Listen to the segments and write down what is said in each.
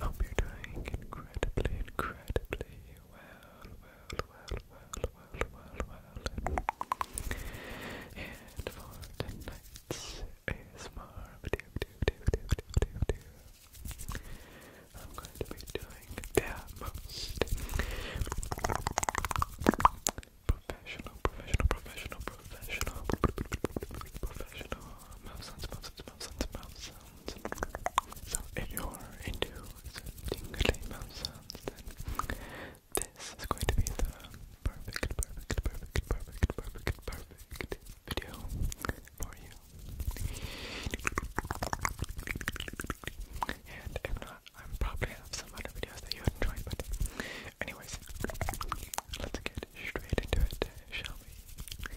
Hope you're doing incredibly, incredibly well, well, well, well, well, well, well. And for tonight's ASMR I'm going to be doing the most professional, professional, professional, professional, professional mouse sounds, mouse sounds, mouth if you're into some mouth sounds, then this is going to be the perfect, perfect, perfect, perfect, perfect, perfect video for you. And if not, I probably have some other videos that you enjoy, but anyways, Let's get straight into it, shall we?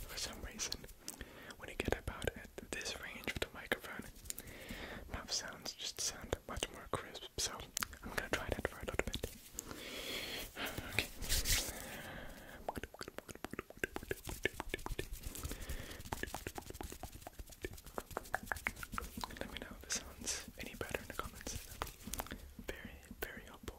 For some reason, when I get about at this range of the microphone, mouth sounds just sound much more crisp, so I'm gonna try that for a little bit. Let me know if this sounds any better in the comments. Very, very helpful.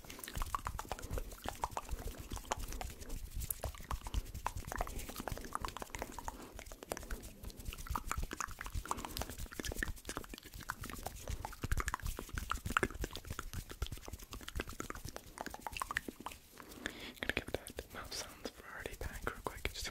Gonna give that mouth sounds variety pack real quick. Just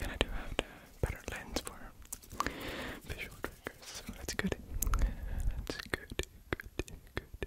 And I do have a better lens for visual triggers, so that's good. That's good, good, good,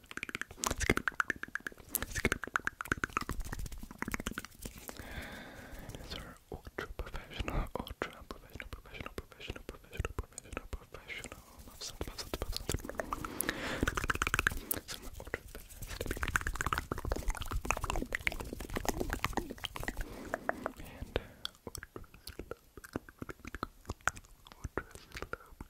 These are ultra professional, ultra professional, professional, professional, professional, professional, professional. Love sound, love sound, love sound. Some are ultra fast. And uh, ultra slow. Ultra slow.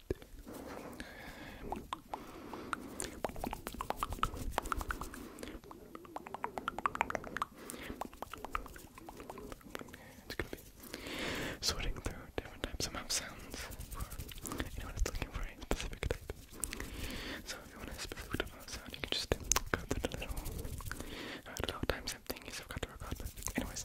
It's gonna be sorting through different types of mouth sounds for know, it's looking for a specific type. So if you want a specific type of mouth sound, you can just go through the little, uh, little timestamp thingies I've got to record. But anyways,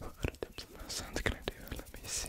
What other types of sounds can I do? Let me see.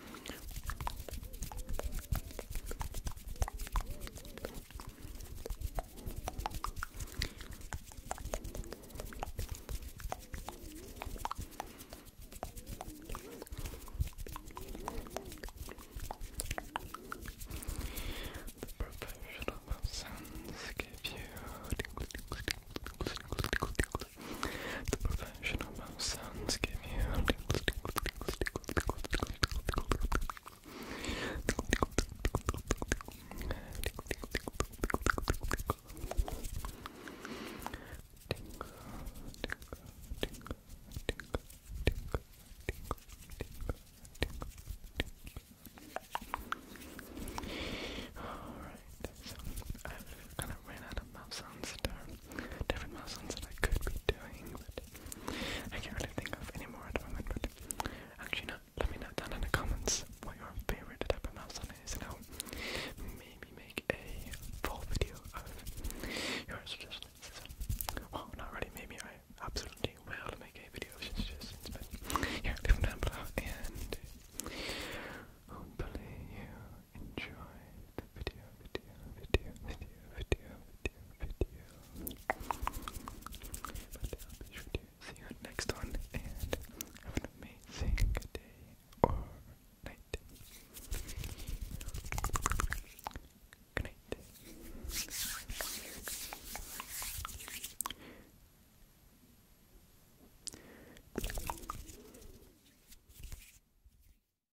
The professional mouth give you professional mouse sounds give you Alright, I've kind of ran out of mouth sounds there different muslins that I could be doing, but I can't really think of any more at the moment. But actually, no, let me know down in the comments what your favorite type of muslin is, and I'll maybe make a full video of your suggestions. So, well, not really, maybe I absolutely will make a video of suggestions, but yeah, leave them down below and hopefully you enjoy the video, video, video, video, video, video, video. see you next one and have an amazing day or night. Good night.